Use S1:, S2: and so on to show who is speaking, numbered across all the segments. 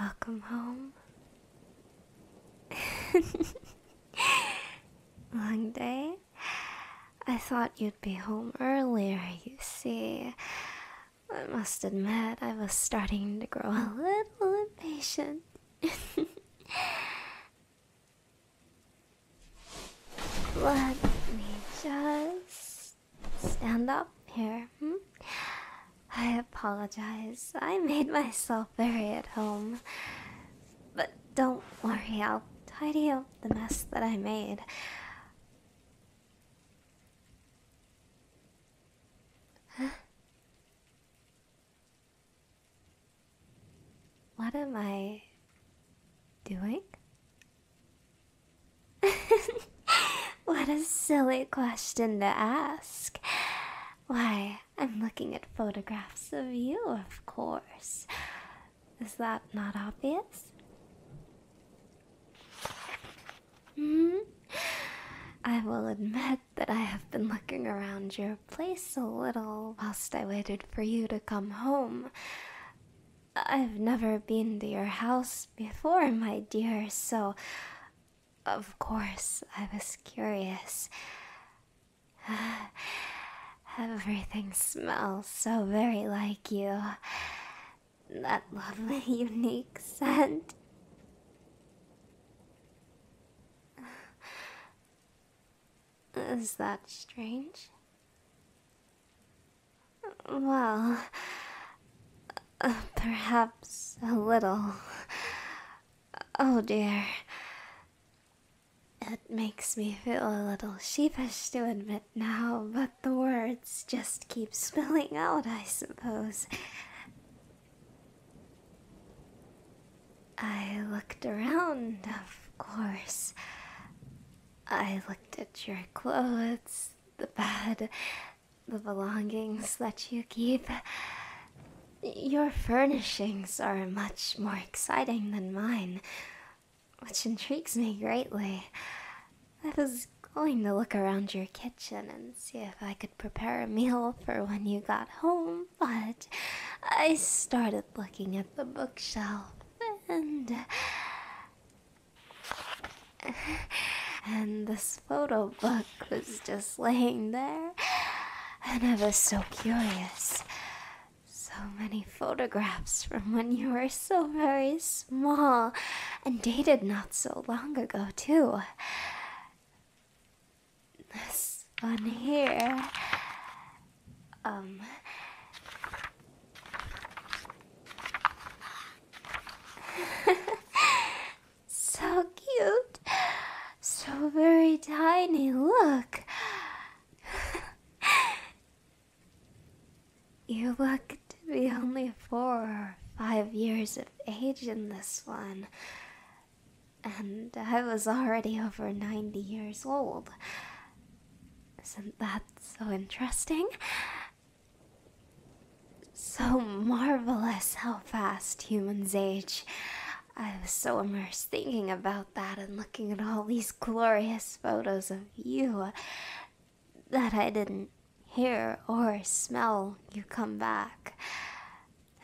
S1: Welcome home. Long day? I thought you'd be home earlier, you see. I must admit, I was starting to grow a little impatient. Let me just stand up here. Hmm? I apologize. I made myself very at home. But don't worry, I'll tidy up the mess that I made. What am I doing? what a silly question to ask. Why, I'm looking at photographs of you, of course. Is that not obvious? Mm-hmm. I will admit that I have been looking around your place a little whilst I waited for you to come home. I've never been to your house before, my dear, so of course I was curious. Everything smells so very like you. That lovely, unique scent. Is that strange? Well, perhaps a little. Oh dear. It makes me feel a little sheepish to admit now, but the words just keep spilling out, I suppose. I looked around, of course. I looked at your clothes, the bed, the belongings that you keep. Your furnishings are much more exciting than mine which intrigues me greatly. I was going to look around your kitchen and see if I could prepare a meal for when you got home, but I started looking at the bookshelf and. And this photo book was just laying there, and I was so curious. So many photographs from when you were so very small and dated not so long ago, too. This one here. Um. so cute. So very tiny. Look. you look to be only four or five years of age in this one. And I was already over 90 years old. Isn't that so interesting? So marvelous how fast humans age. I was so immersed thinking about that and looking at all these glorious photos of you that I didn't hear or smell you come back.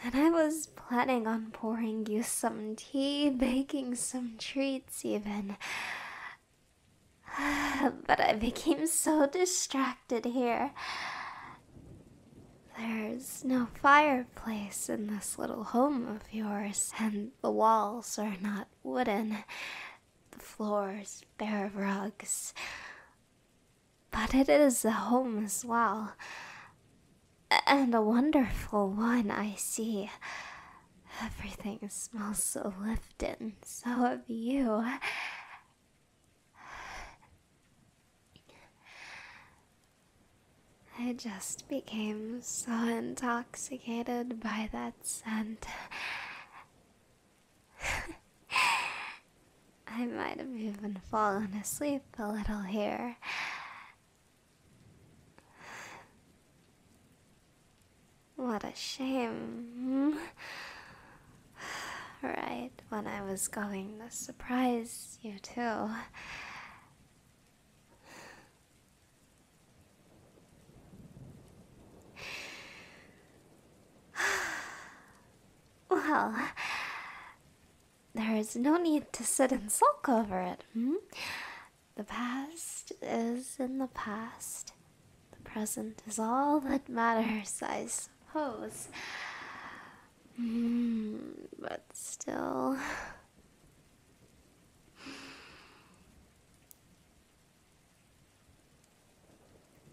S1: And I was planning on pouring you some tea, baking some treats, even. But I became so distracted here. There's no fire Place in this little home of yours, and the walls are not wooden, the floors bare of rugs. But it is a home as well, and a wonderful one, I see. Everything smells so lifted, so of you. I just became so intoxicated by that scent. I might have even fallen asleep a little here. What a shame. Right when I was going to surprise you, too. well, there is no need to sit and sulk over it. Hmm? The past is in the past. The present is all that matters, I suppose. Hmm, but still.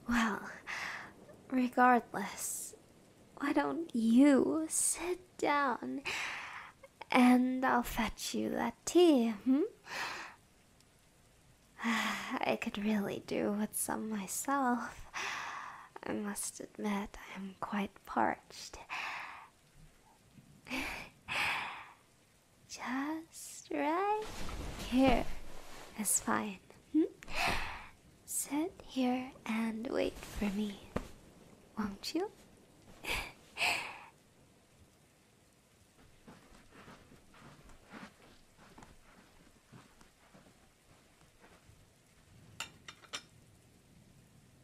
S1: Well, regardless, why don't you sit down and I'll fetch you that tea, hmm? I could really do with some myself. I must admit, I'm quite parched. Just right here is fine. Hmm? Sit here and wait for me, won't you?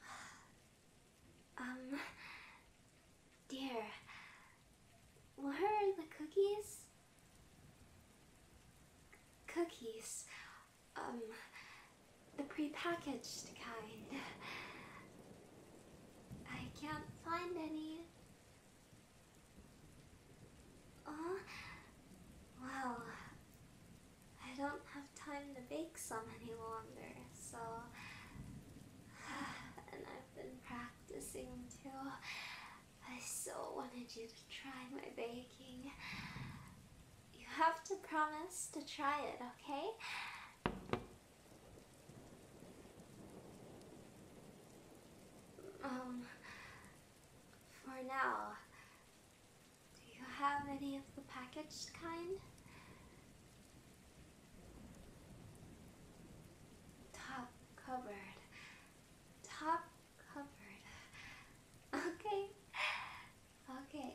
S1: Um, dear, where are the cookies? cookies, um, the prepackaged kind. I can't find any. Oh, wow. I don't have time to bake some any longer, so. And I've been practicing too. I so wanted you to try my baking. You have to promise to try it, okay? Um, for now. Do you have any of the packaged kind? Top covered. Top covered. Okay. Okay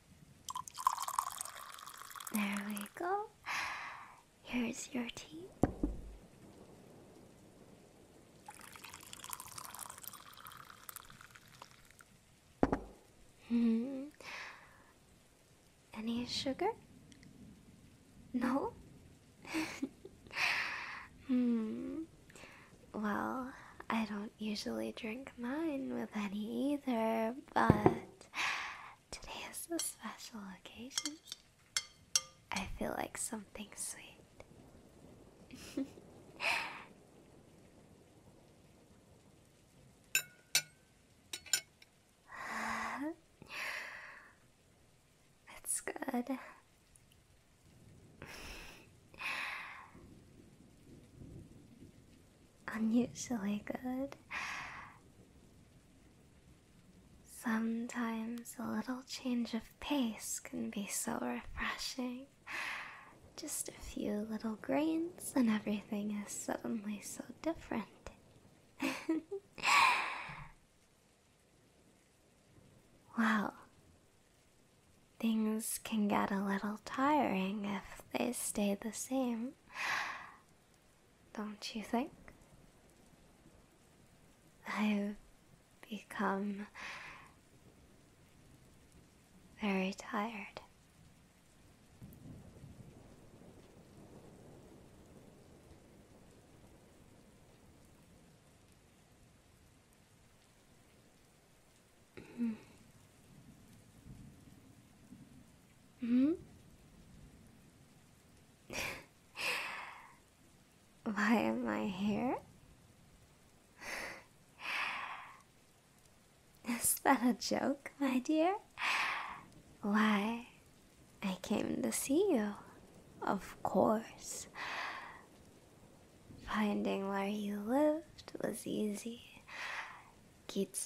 S1: There we go. Here's your tea. Hmm. Any sugar? No? hmm. Well, I don't usually drink mine with any either, but Today is a special occasion. I feel like something sweet. That's good. unusually good. Sometimes a little change of pace can be so refreshing. Just a few little grains, and everything is suddenly so different. well, things can get a little tiring if they stay the same don't you think? I've become very tired. Hmm. Hmm? Why am I here? Is that a joke, my dear? Why, I came to see you, of course. Finding where you lived was easy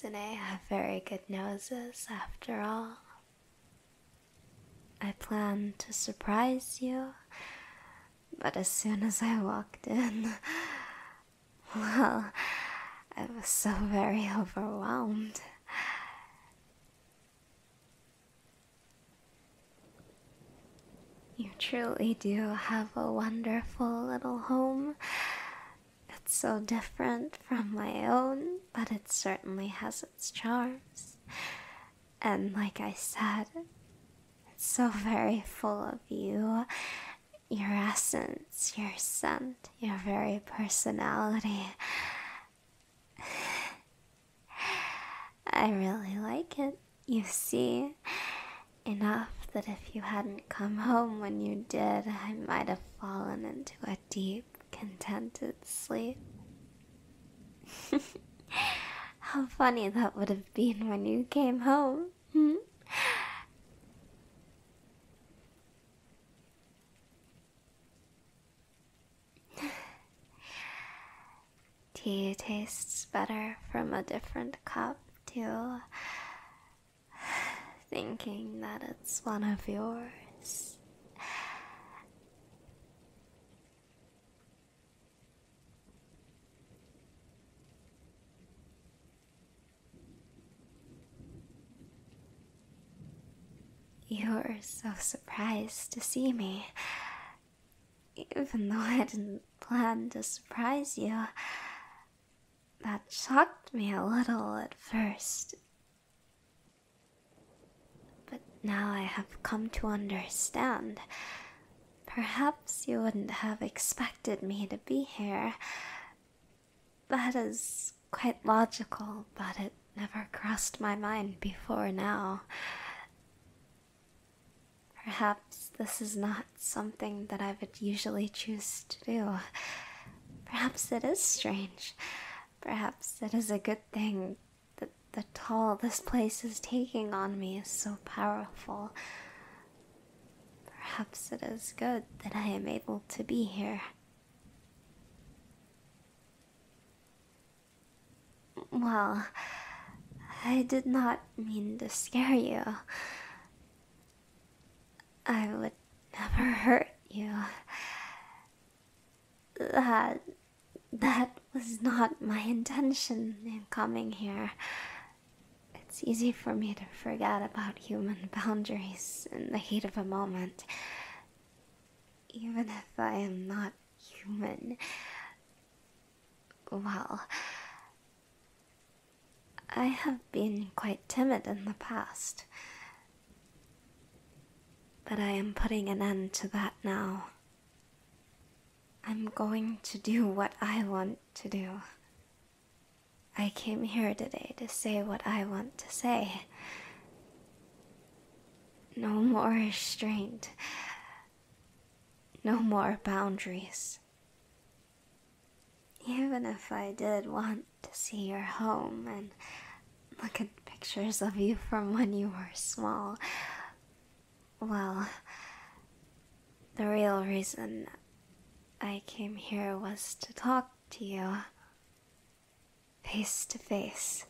S1: and I have very good noses after all. I planned to surprise you, but as soon as I walked in, well, I was so very overwhelmed. You truly do have a wonderful little home, it's so different from my own, but it certainly has its charms. And like I said, it's so very full of you your essence, your scent, your very personality. I really like it, you see. Enough that if you hadn't come home when you did, I might have fallen into a deep, contented sleep. How funny that would have been when you came home. Hmm? Tea tastes better from a different cup, too thinking that it's one of yours. you were so surprised to see me. Even though I didn't plan to surprise you, that shocked me a little at first. But now I have come to understand. Perhaps you wouldn't have expected me to be here. That is quite logical, but it never crossed my mind before now. Perhaps this is not something that I would usually choose to do. Perhaps it is strange. Perhaps it is a good thing that the toll this place is taking on me is so powerful. Perhaps it is good that I am able to be here. Well, I did not mean to scare you. I would never hurt you. That. that was not my intention in coming here. It's easy for me to forget about human boundaries in the heat of a moment. Even if I am not human. Well, I have been quite timid in the past, but I am putting an end to that now. I'm going to do what I want to do. I came here today to say what I want to say. No more restraint. No more boundaries. Even if I did want to see your home and look at pictures of you from when you were small, well, the real reason I came here was to talk to you face to face.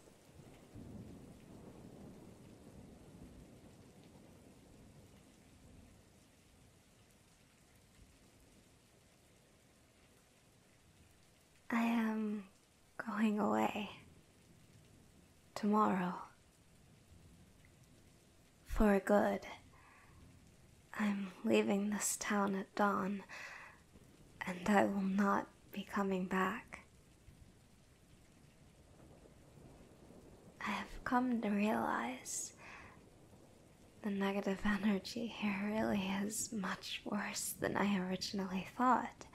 S1: I am going away tomorrow. For good. I'm leaving this town at dawn, and I will not be coming back. I have come to realize the negative energy here really is much worse than I originally thought.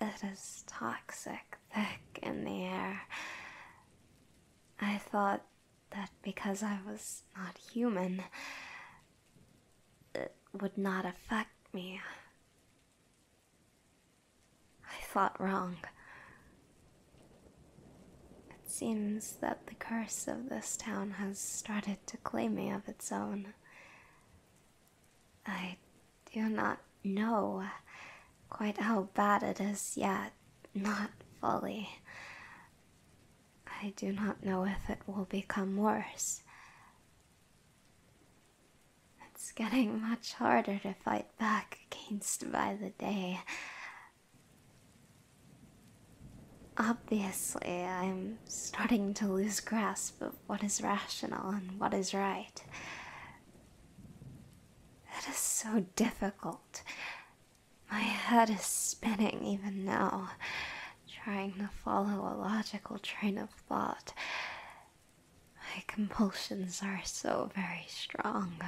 S1: It is toxic, thick in the air. I thought that because I was not human, it would not affect me. I thought wrong. It seems that the curse of this town has started to claim me of its own. I do not know quite how bad it is yet, not fully. I do not know if it will become worse. It's getting much harder to fight back against by the day. Obviously, I'm starting to lose grasp of what is rational and what is right. It is so difficult. My head is spinning even now, trying to follow a logical train of thought. My compulsions are so very strong.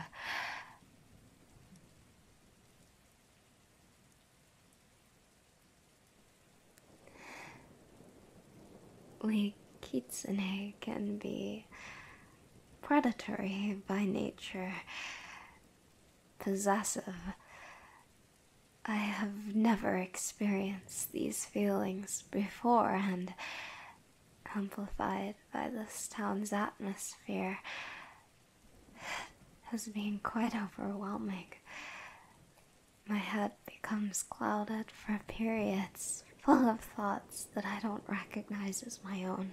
S1: We kitsune can be predatory by nature, possessive. I have never experienced these feelings before, and amplified by this town's atmosphere, has been quite overwhelming. My head becomes clouded for periods, full of thoughts that I don't recognize as my own.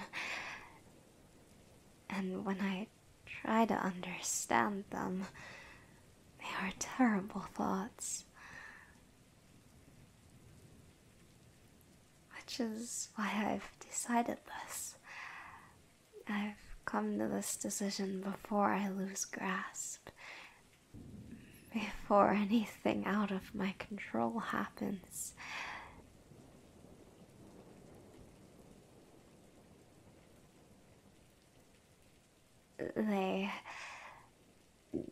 S1: And when I try to understand them, they are terrible thoughts. Which is why I've decided this. I've come to this decision before I lose grasp, before anything out of my control happens. They.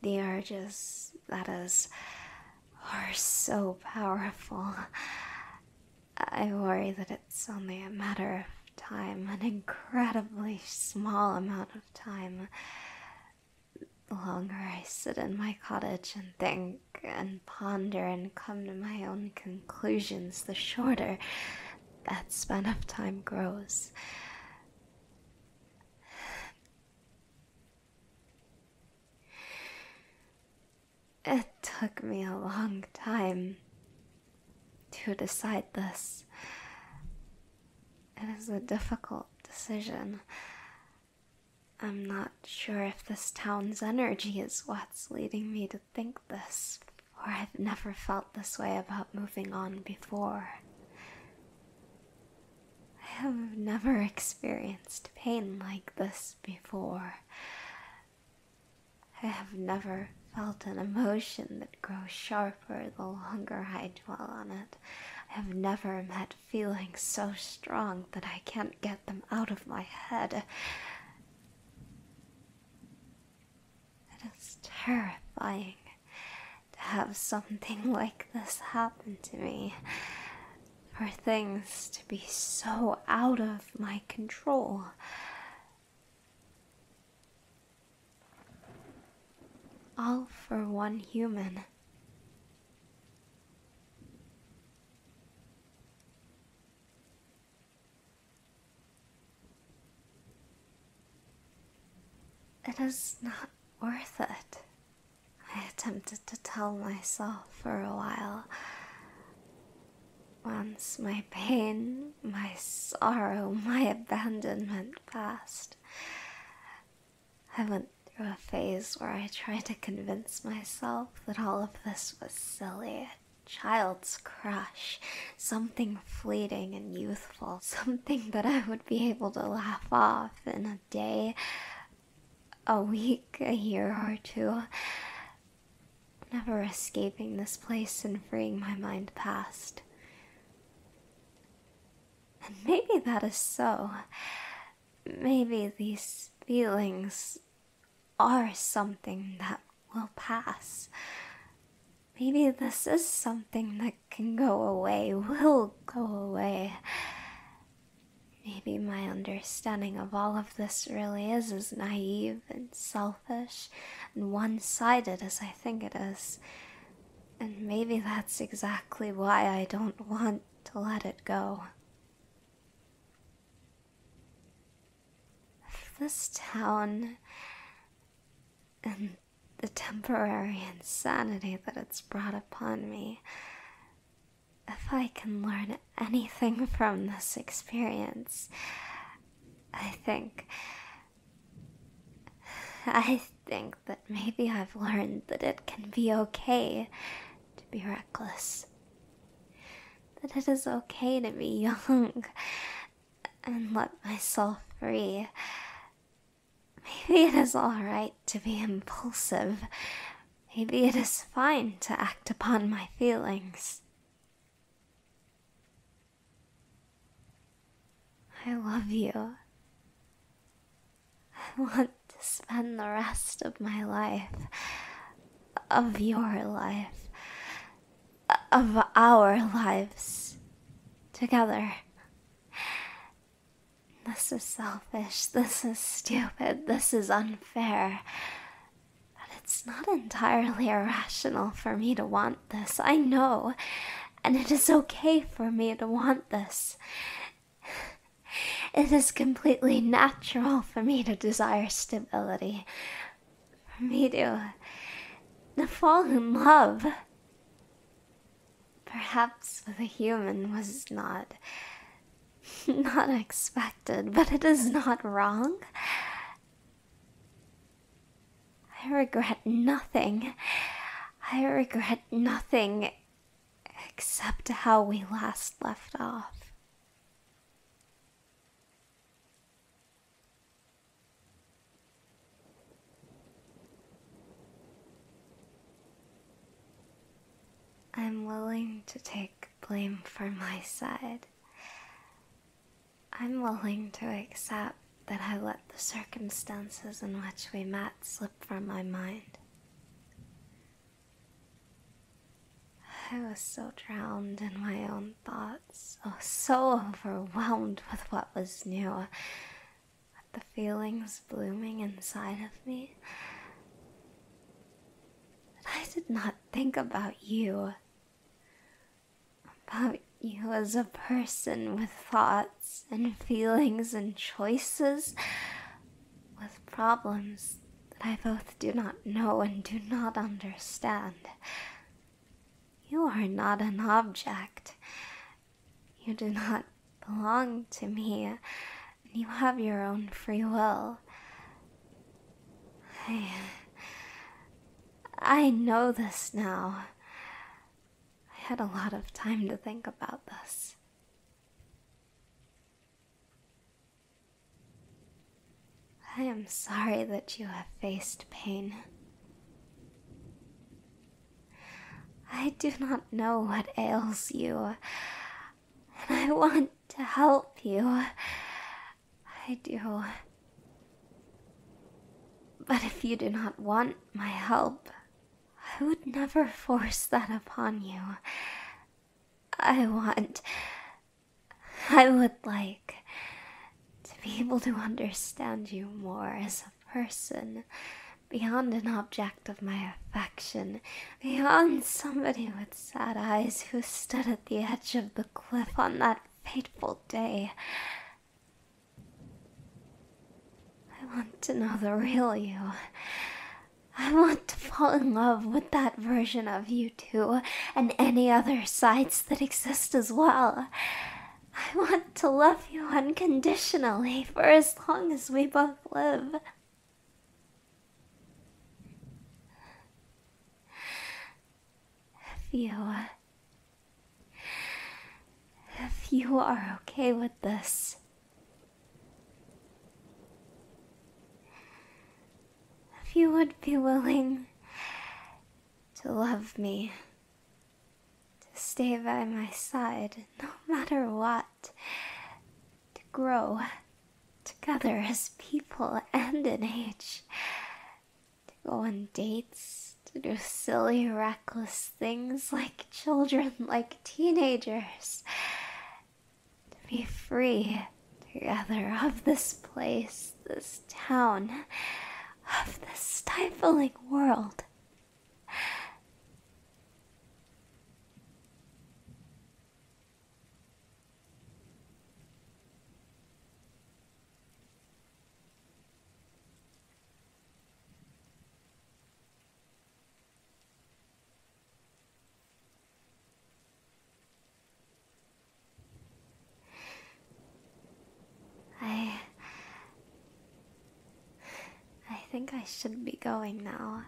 S1: the urges, that is, are so powerful. I worry that it's only a matter of time, an incredibly small amount of time. The longer I sit in my cottage and think and ponder and come to my own conclusions, the shorter that span of time grows. It took me a long time to decide this. It is a difficult decision. I'm not sure if this town's energy is what's leading me to think this, for I've never felt this way about moving on before. I have never experienced pain like this before. I have never felt an emotion that grows sharper the longer I dwell on it. I have never met feelings so strong that I can't get them out of my head. It is terrifying to have something like this happen to me. For things to be so out of my control. All for one human. It is not worth it. I attempted to tell myself for a while. Once my pain, my sorrow, my abandonment passed, I went through a phase where I tried to convince myself that all of this was silly, a child's crush, something fleeting and youthful, something that I would be able to laugh off in a day, a week, a year or two never escaping this place and freeing my mind past. And maybe that is so. Maybe these feelings are something that will pass. Maybe this is something that can go away, will go away. Maybe my understanding of all of this really is as naive and selfish and one sided as I think it is. And maybe that's exactly why I don't want to let it go. this town and the temporary insanity that it's brought upon me if I can learn anything from this experience, I think. I think that maybe I've learned that it can be okay to be reckless. That it is okay to be young and let myself free. Maybe it is alright to be impulsive. Maybe it is fine to act upon my feelings. I love you. I want to spend the rest of my life, of your life, of our lives together. This is selfish. This is stupid. This is unfair. But it's not entirely irrational for me to want this, I know, and it is okay for me to want this. It is completely natural for me to desire stability, for me to, to fall in love. Perhaps with a human was not not expected, but it is not wrong. I regret nothing. I regret nothing except how we last left off. I'm willing to take blame for my side. I'm willing to accept that I let the circumstances in which we met slip from my mind. I was so drowned in my own thoughts, oh, so overwhelmed with what was new, with the feelings blooming inside of me, that I did not think about you. About you as a person with thoughts and feelings and choices, with problems that I both do not know and do not understand. You are not an object. You do not belong to me, and you have your own free will. I. I know this now. I had a lot of time to think about this. I am sorry that you have faced pain. I do not know what ails you, and I want to help you. I do. But if you do not want my help, I would never force that upon you. I want. I would like to be able to understand you more as a person, beyond an object of my affection, beyond somebody with sad eyes who stood at the edge of the cliff on that fateful day. I want to know the real you. I want to fall in love with that version of you too, and any other sides that exist as well. I want to love you unconditionally for as long as we both live. If you, uh, if you are okay with this, if you would be willing to love me, to stay by my side no matter what, to grow, together as people and in age, to go on dates, to do silly, reckless things like children, like teenagers, to be free together of this place, this town, of this stifling world. I. I think I should be going now.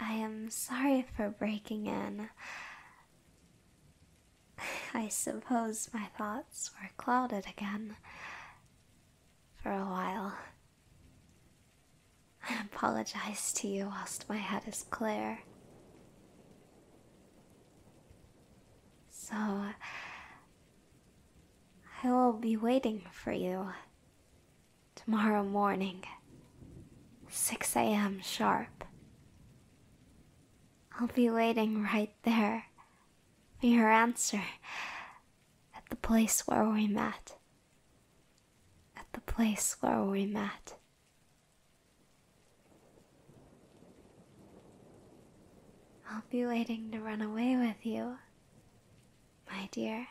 S1: I am sorry for breaking in. I suppose my thoughts were clouded again for a while. I apologize to you whilst my head is clear. So, I will be waiting for you tomorrow morning, 6 a.m. sharp. I'll be waiting right there for your answer at the place where we met. At the place where we met. I'll be waiting to run away with you, my dear.